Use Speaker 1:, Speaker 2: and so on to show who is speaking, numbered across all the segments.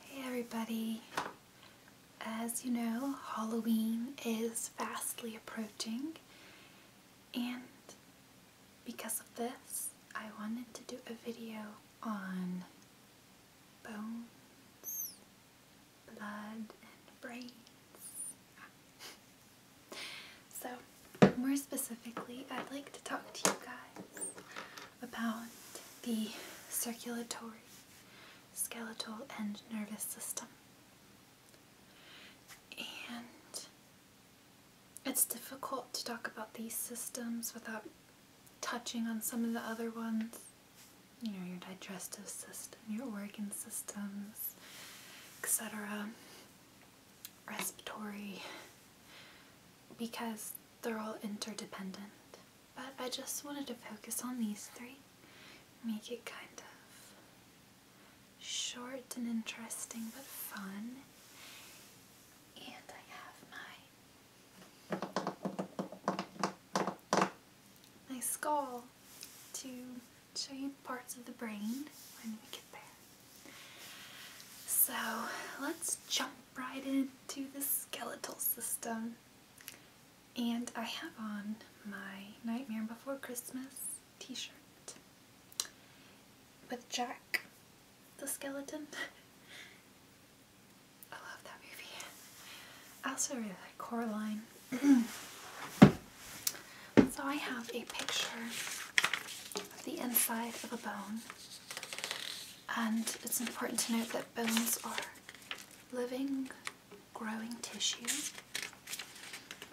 Speaker 1: Hey everybody! As you know, Halloween is fastly approaching, and because of this, I wanted to do a video on bones, blood, and brains. So, more specifically, I'd like to talk to you guys about the circulatory, skeletal, and nervous system. And it's difficult to talk about these systems without touching on some of the other ones. You know, your digestive system, your organ systems, etc. Respiratory. Because they're all interdependent. But I just wanted to focus on these three, make it kind of short and interesting but fun. And I have my, my skull to show you parts of the brain when we get there. So let's jump right into the skeletal system. And I have on my Nightmare Before Christmas t-shirt with Jack the Skeleton. I love that movie. I also really like Coraline. so I have a picture of the inside of a bone and it's important to note that bones are living, growing tissue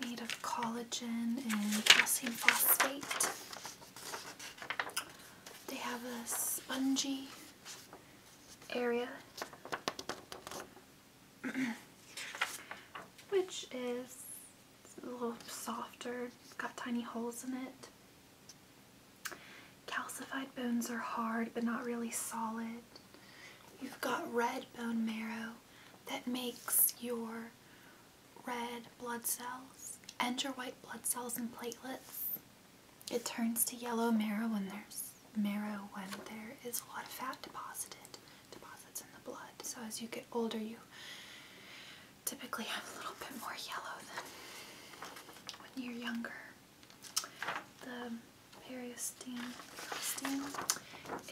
Speaker 1: made of collagen and calcium phosphate. They have a spongy area, which is a little softer, it's got tiny holes in it. Calcified bones are hard but not really solid. You've got red bone marrow that makes your red blood cells and your white blood cells and platelets. It turns to yellow marrow when there's marrow when there is a lot of fat deposited deposits in the blood. So as you get older you typically have a little bit more yellow than when you're younger. The periosteum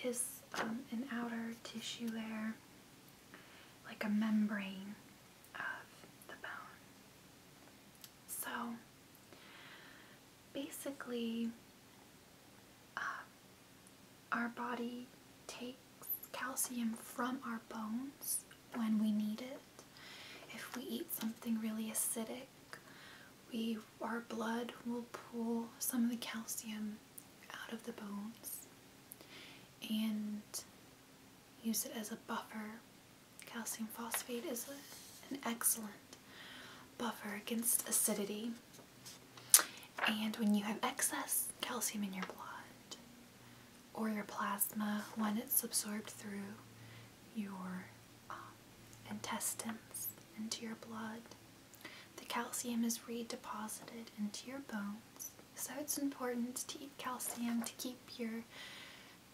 Speaker 1: is um, an outer tissue layer, like a membrane of the bone. So basically, uh, our body takes calcium from our bones when we need it. If we eat something really acidic, we our blood will pull some of the calcium out of the bones and use it as a buffer. Calcium phosphate is an excellent buffer against acidity. And when you have excess calcium in your blood, or your plasma when it's absorbed through your um, intestines into your blood. The calcium is redeposited into your bones, so it's important to eat calcium to keep your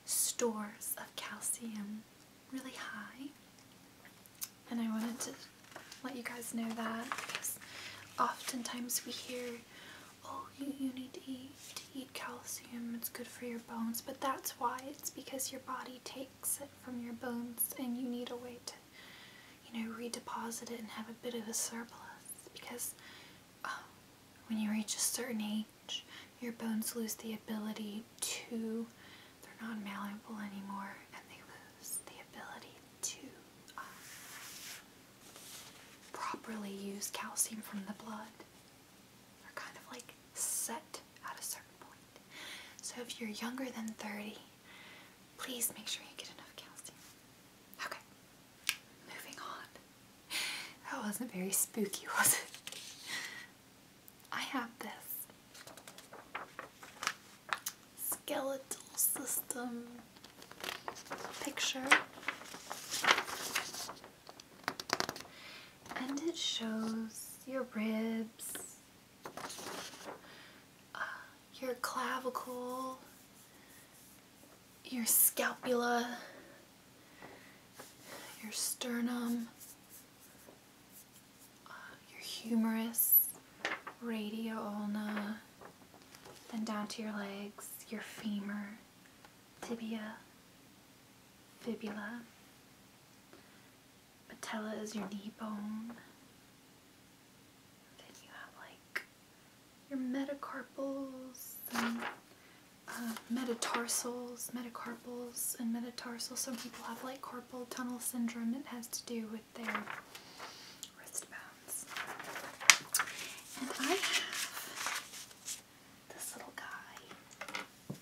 Speaker 1: stores of calcium really high. And I wanted to let you guys know that because oftentimes we hear, oh, you, you need to eat, calcium, it's good for your bones, but that's why it's because your body takes it from your bones and you need a way to, you know, redeposit it and have a bit of a surplus because oh, when you reach a certain age, your bones lose the ability to, they're not malleable anymore and they lose the ability to uh, properly use calcium from the blood are kind of like set at a certain point. So if you're younger than 30, please make sure you get enough calcium. Okay, moving on. That wasn't very spooky, was it? I have this skeletal system picture, and it shows your ribs, uh, your clavicle, your scapula, your sternum, uh, your humerus, radial ulna, then down to your legs, your femur tibia, fibula. Patella is your knee bone. Then you have like your metacarpals uh, metatarsals, metacarpals and metatarsals. Some people have like carpal tunnel syndrome. It has to do with their wrist bones. And I have this little guy.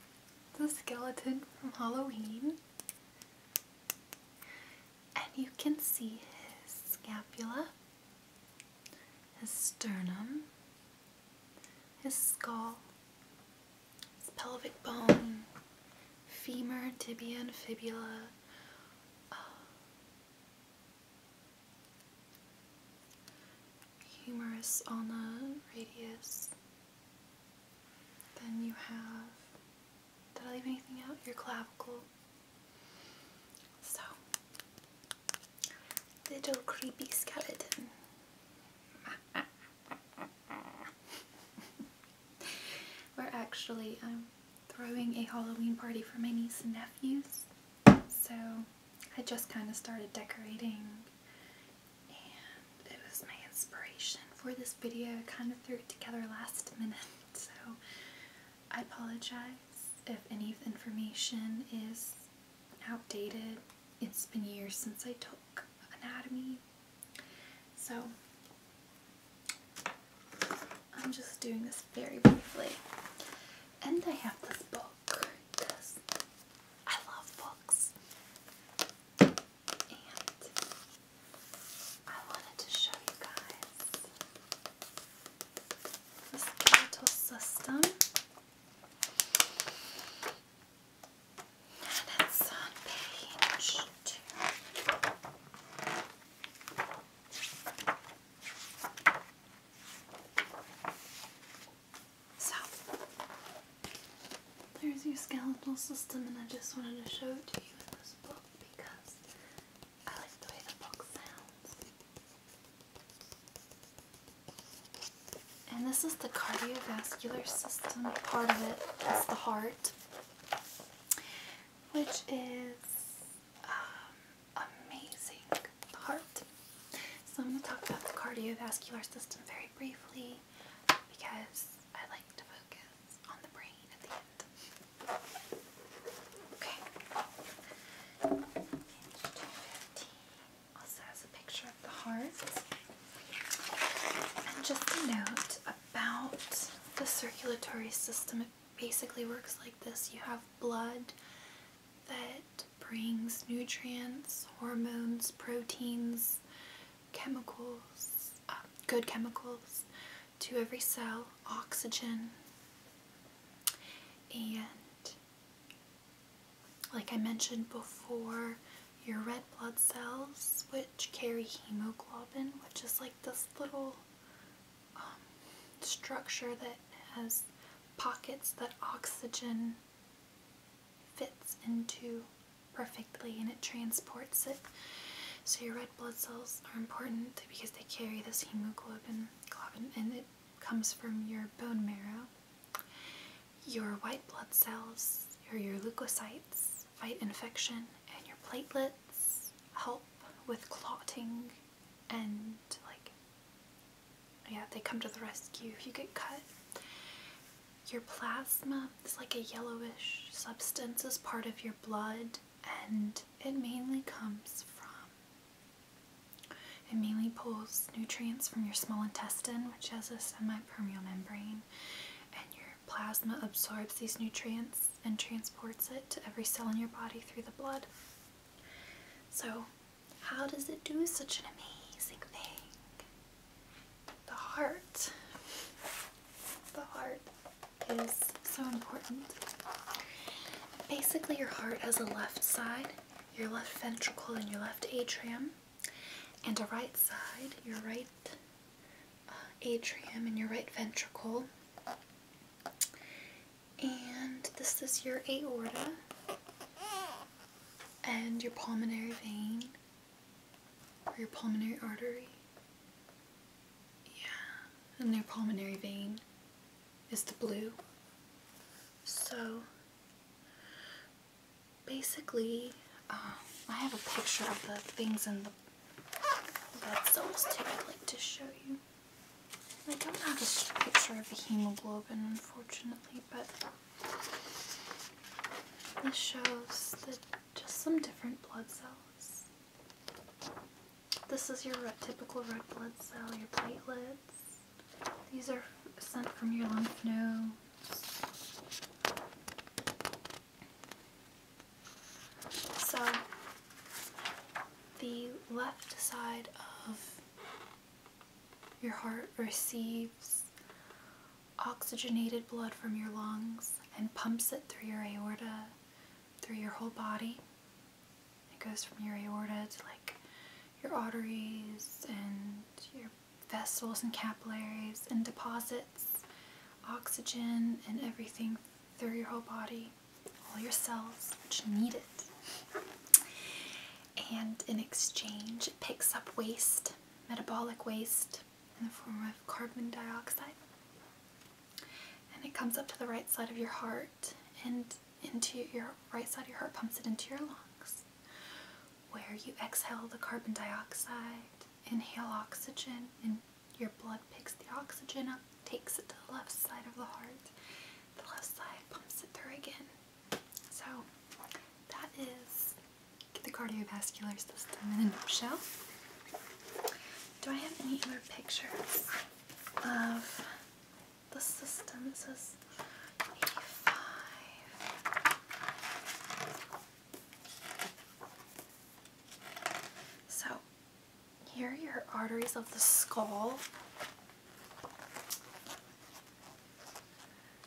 Speaker 1: the skeleton from Halloween. And you can see his scapula, his sternum, his skull, his pelvic bone, femur, tibia, and fibula humerus the radius. Then you have, did I leave anything out? Your clavicle. So, little creepy skeleton. We're actually, um, throwing a Halloween party for my niece and nephews. So I just kind of started decorating and it was my inspiration for this video. I kind of threw it together last minute. So I apologize if any of the information is outdated. It's been years since I took anatomy. So I'm just doing this very briefly. And I have this book because I love books. And I wanted to show you guys the skeletal system. And it's on page two. So, there's your skeletal system, and I just wanted to show it to you in this book because I like the way the book sounds. And this is the cardiovascular system part of it is the heart, which is um, amazing. The heart. So I'm going to talk about the cardiovascular system very briefly because I like to focus on the brain at the end. Okay. also has a picture of the heart. And just a note about the circulatory system basically works like this you have blood that brings nutrients, hormones, proteins, chemicals, um, good chemicals to every cell, oxygen, and like I mentioned before, your red blood cells, which carry hemoglobin, which is like this little um, structure that has pockets that oxygen fits into perfectly and it transports it. So your red blood cells are important because they carry this hemoglobin and it comes from your bone marrow. Your white blood cells or your leukocytes fight infection and your platelets help with clotting and like yeah, they come to the rescue if you get cut. Your plasma is like a yellowish substance as part of your blood, and it mainly comes from. It mainly pulls nutrients from your small intestine, which has a semi-permeable membrane, and your plasma absorbs these nutrients and transports it to every cell in your body through the blood. So, how does it do such an amazing thing? The heart. The heart is so important. Basically, your heart has a left side, your left ventricle, and your left atrium, and a right side, your right uh, atrium, and your right ventricle. And this is your aorta and your pulmonary vein or your pulmonary artery. Yeah, and your pulmonary vein is the blue. So basically, um, I have a picture of the things in the blood cells too I'd like to show you. I don't have a picture of a hemoglobin, unfortunately, but this shows the, just some different blood cells. This is your typical red blood cell, your platelets. These are sent from your lymph nodes. So, the left side of your heart receives oxygenated blood from your lungs and pumps it through your aorta, through your whole body. It goes from your aorta to like your arteries and your vessels and capillaries and deposits oxygen and everything through your whole body all your cells which need it. And in exchange, it picks up waste, metabolic waste, in the form of carbon dioxide. And it comes up to the right side of your heart and into your right side of your heart pumps it into your lungs, where you exhale the carbon dioxide, inhale oxygen, and your blood picks the oxygen up takes it to the left side of the heart. The left side pumps it through again. So that is the cardiovascular system in a nutshell. Do I have any other pictures of the system? This is 85. So here are your arteries of the skull.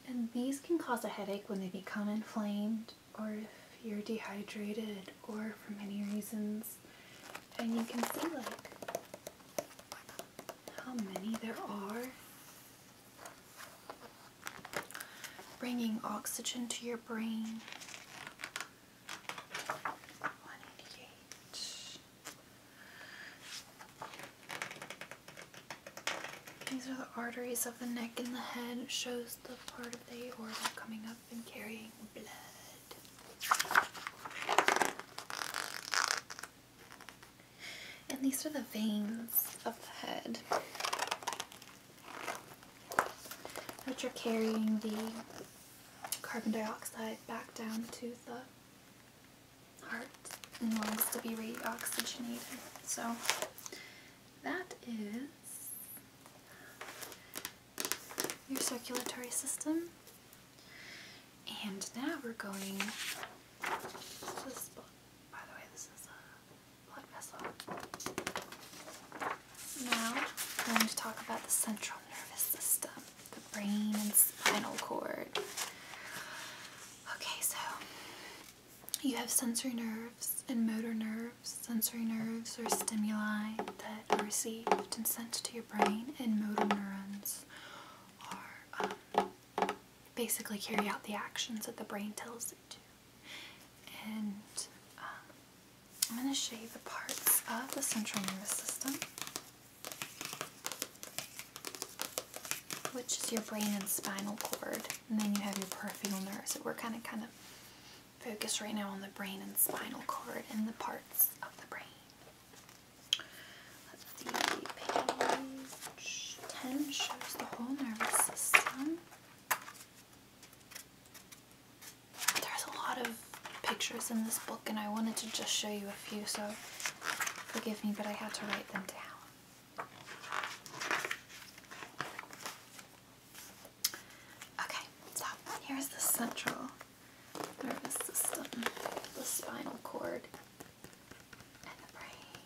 Speaker 1: And these can cause a headache when they become inflamed or if you're dehydrated or for many reasons. And you can see like how many there are. Bringing oxygen to your brain these are the arteries of the neck and the head. It shows the part of the aorta coming up and carrying blood. And these are the veins of the head, which are carrying the carbon dioxide back down to the heart and lungs to be reoxygenated. So that is your circulatory system. And now we're going Now we're going to talk about the central nervous system the brain and spinal cord. Okay, so you have sensory nerves and motor nerves. Sensory nerves are stimuli that are received and sent to your brain, and motor neurons are um, basically carry out the actions that the brain tells it to. And um, I'm going to show you the parts of the central nervous system, which is your brain and spinal cord, and then you have your peripheral nerves. So we're kind of kind of focused right now on the brain and spinal cord and the parts of the brain. page 10 shows the whole nervous system. There's a lot of pictures in this book and I wanted to just show you a few, so forgive me, but I had to write them down. Okay, so here's the central nervous system, the spinal cord, and the brain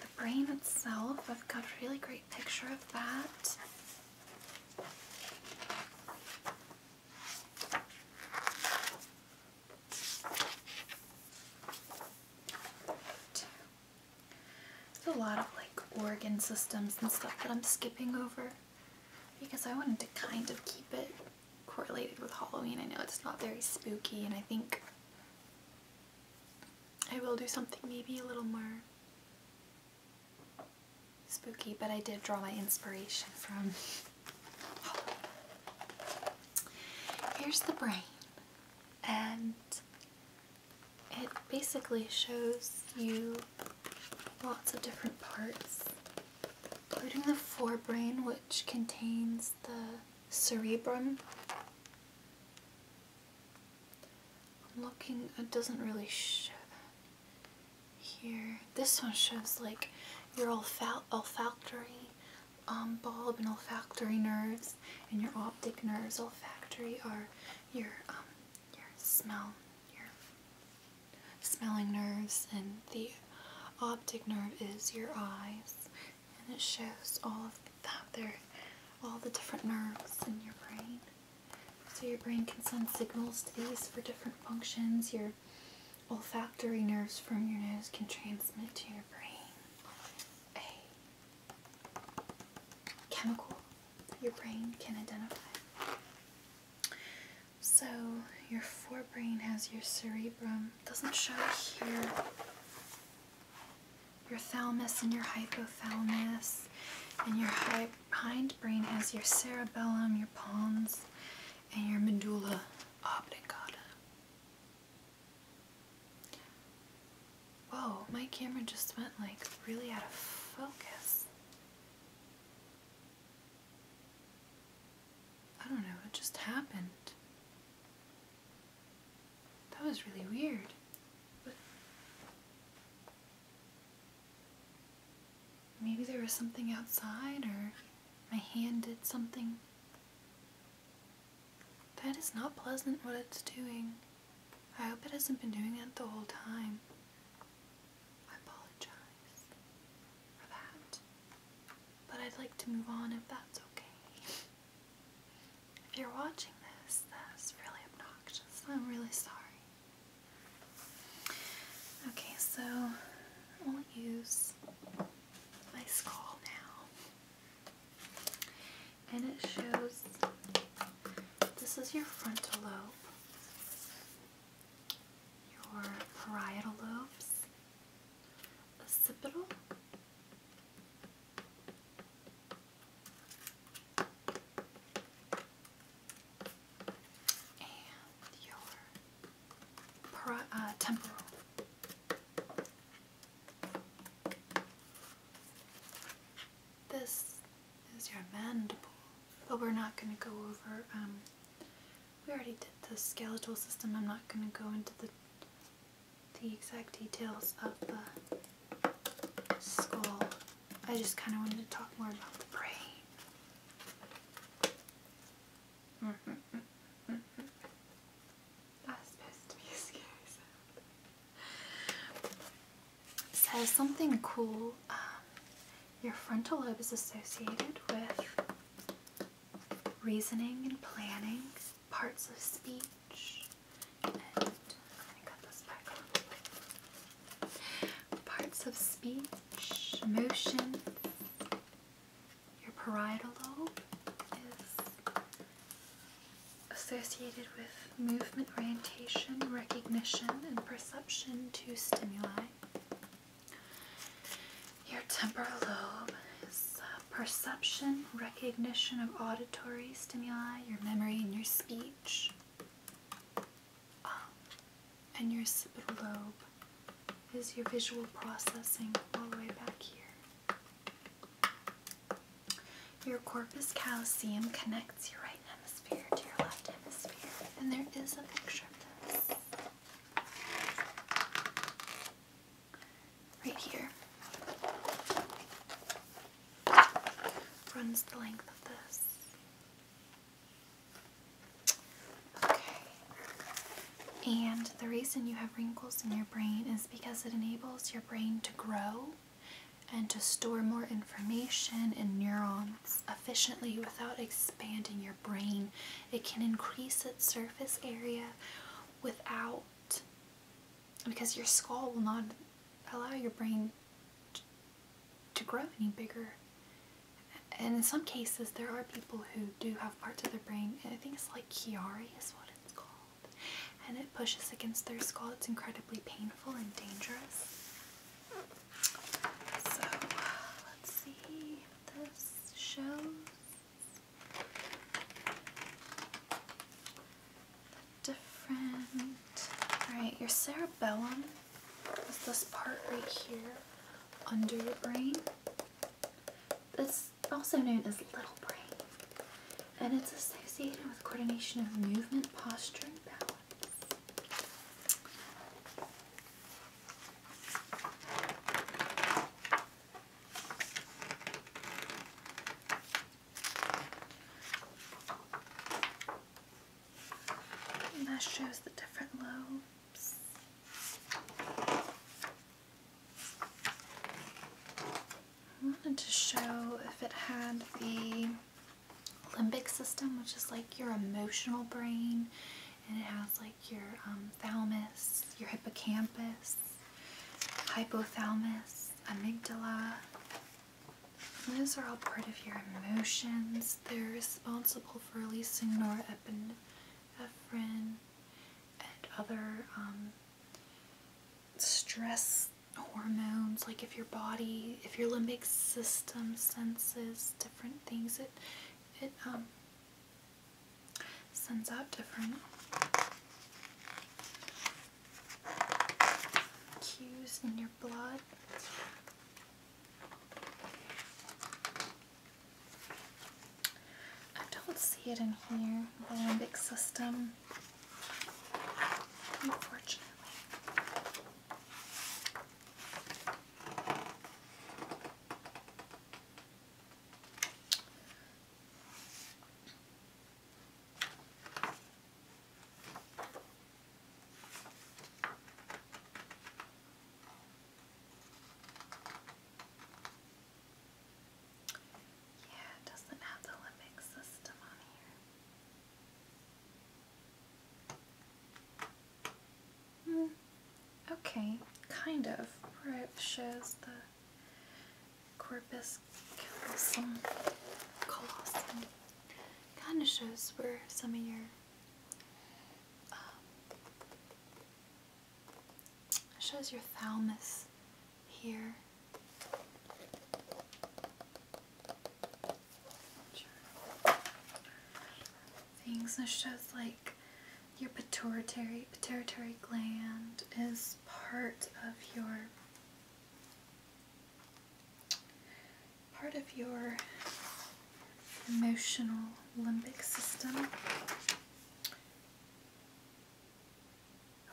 Speaker 1: the brain itself, I've got a really great picture of that. There's a lot of like organ systems and stuff that I'm skipping over because I wanted to kind of keep it correlated with Halloween. I know it's not very spooky and I think I will do something maybe a little more spooky, but I did draw my inspiration from Here's the brain and it basically shows you lots of different parts including the forebrain, which contains the cerebrum. I'm looking, it doesn't really show here. This one shows like your olfa olfactory um, bulb and olfactory nerves and your optic nerves. Olfactory are your, um, your smell, your smelling nerves and the optic nerve is your eyes, and it shows all of that there, all the different nerves in your brain. So your brain can send signals to these for different functions. Your olfactory nerves from your nose can transmit to your brain a chemical your brain can identify. So your forebrain has your cerebrum. doesn't show here. Your thalamus and your hypothalamus, and your hindbrain has your cerebellum, your pons, and your medulla oblongata. Whoa, my camera just went like really out of focus. I don't know, it just happened. That was really weird. maybe there was something outside or my hand did something. That is not pleasant what it's doing. I hope it hasn't been doing it the whole time. I apologize for that. But I'd like to move on if that's okay. If you're watching this, that's really obnoxious. I'm really sorry. Okay, so I'll use my skull now. And it shows this is your frontal lobe, your parietal lobes, occipital and your pro, uh, temporal. This is your mandible, but we're not going to go over um, we already did the skeletal system. I'm not going to go into the the exact details of the skull. I just kind of wanted to talk more about the brain. Mm That's supposed to be scary says something cool. Um, your frontal lobe is associated with reasoning and planning, parts of speech, Parts of speech, motion, your parietal lobe is associated with movement, orientation, recognition, and perception to stimuli. Your temporal lobe is uh, perception, recognition of auditory stimuli, your memory, and your speech. Um, and your occipital lobe is your visual processing all the way back here. Your corpus callosum connects your right hemisphere to your left hemisphere, and there is a picture of this right here runs the length of this. Okay. And the reason you have wrinkles in your brain is because it enables your brain to grow and to store more information in neurons efficiently without expanding your brain it can increase its surface area without because your skull will not allow your brain to grow any bigger. And in some cases, there are people who do have parts of their brain. I think it's like Chiari is what it's called. And it pushes against their skull. It's incredibly painful and dangerous. So, let's see what this shows different. Alright, your cerebellum is this part right here under your brain. It's also known as little brain. And it's associated with coordination of movement, posture, and balance. And that shows the different lobes. I wanted to show if it had the limbic system, which is like your emotional brain, and it has like your um, thalamus, your hippocampus, hypothalamus, amygdala. Those are all part of your emotions. They're responsible for releasing norepinephrine and other um, stress hormones. Like if your body, if your limbic system senses different things, it it um, sends out different cues in your blood. I don't see it in here, the system, unfortunately. Yeah, it doesn't have the limbic system on here. Hmm. okay, kind of, where it shows the corpus callosum, Kind of shows where some of your um, shows your thalamus here things. This shows like your pituitary pituitary gland is part of your part of your emotional limbic system.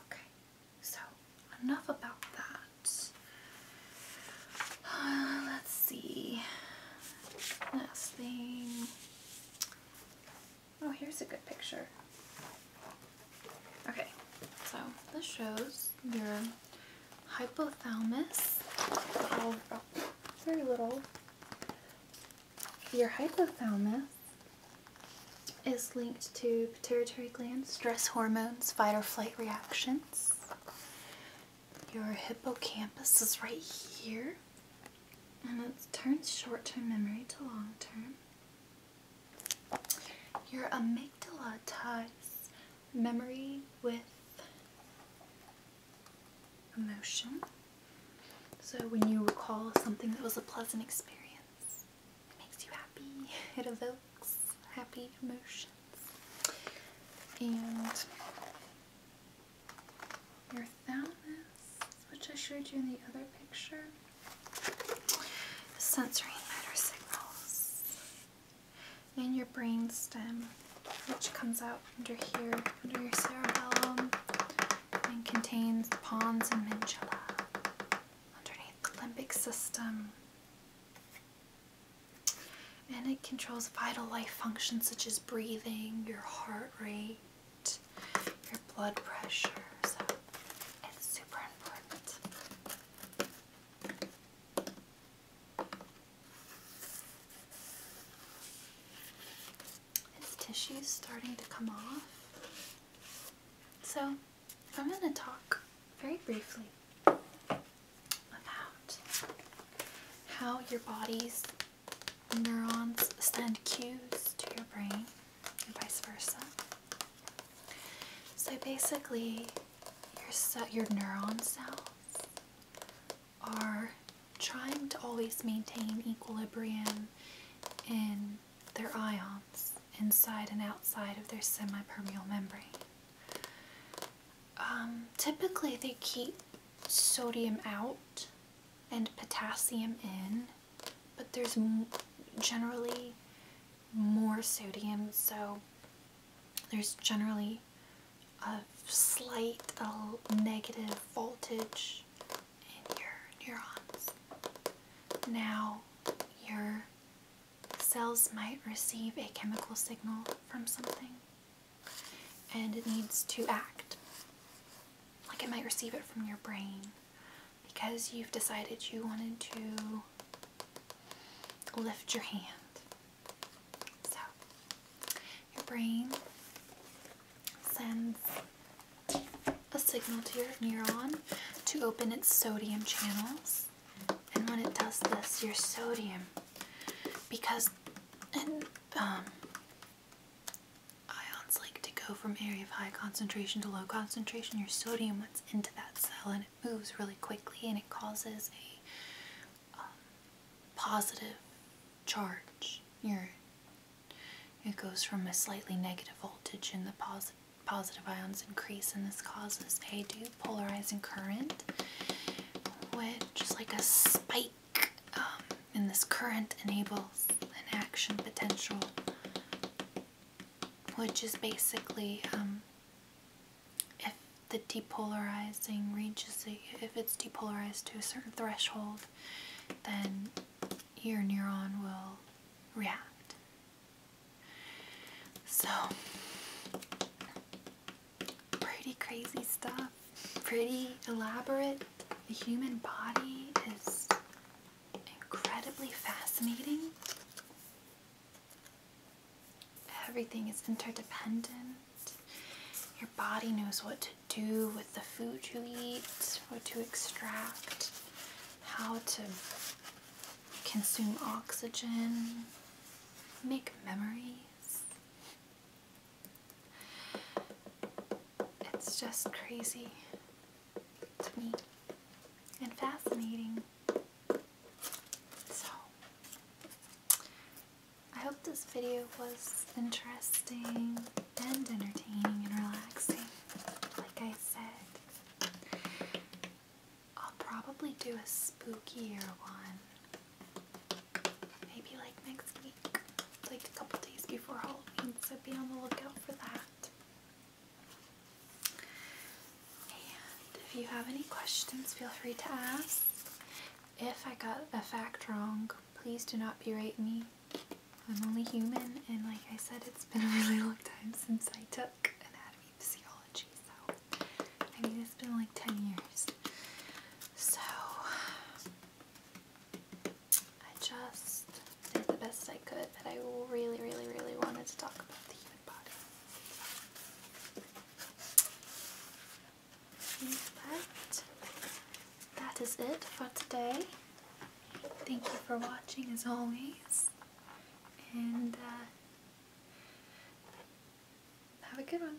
Speaker 1: Okay, so enough about that. Uh, let's see. Last thing. Oh, here's a good picture. Okay, so this shows your hypothalamus. Oh, very little. Your hypothalamus is linked to pituitary glands, stress hormones, fight or flight reactions. Your hippocampus is right here and it turns short-term memory to long-term. Your amygdala ties memory with emotion. So when you recall something that was a pleasant experience, it makes you happy. It evokes happy emotions. And your thalamus, which I showed you in the other picture, the sensory motor signals, and your brain stem, which comes out under here, under your cerebellum, and contains the pons and medulla underneath the limbic system. And it controls vital life functions such as breathing, your heart rate, your blood pressure. So it's super important. tissue is starting to come off. So I'm going to talk very briefly about how your body's neurons send cues to your brain and vice versa. So basically, your, neuron cells are trying to always maintain equilibrium in their ions inside and outside of their semi-permeable membrane. Um, typically, they keep sodium out and potassium in, but there's generally more sodium, so there's generally a slight negative voltage in your neurons. Now, your cells might receive a chemical signal from something and it needs to act. Like it might receive it from your brain because you've decided you wanted to lift your hand. So, your brain sends a signal to your neuron to open its sodium channels. And when it does this, your sodium, because and um, ions like to go from area of high concentration to low concentration. Your sodium wants into that cell and it moves really quickly and it causes a um, positive charge. Your, it goes from a slightly negative voltage and the positive ions increase and this causes a polarizing current which is like a spike and um, this current enables an action potential which is basically um, if the depolarizing reaches a, if it's depolarized to a certain threshold then your neuron will react so pretty crazy stuff pretty elaborate. The human body is incredibly fascinating. Everything is interdependent. Your body knows what to do with the food you eat, what to extract, how to consume oxygen, make memories. It's just crazy to me and fascinating. So, I hope this video was interesting and entertaining and relaxing. Like I said, I'll probably do a spookier one maybe like next week, like a couple days before Halloween, so be on the lookout for that. And if you have any questions, feel free to ask. If I got a fact wrong, please do not berate me. I'm only human, and like I said, it's been a really long time since I took anatomy physiology, so I mean, it's been like 10 years. So, I just did the best I could, but I really, really, really wanted to talk about the human body. In that is it for today. Thank you for watching as always, and uh, have a good one.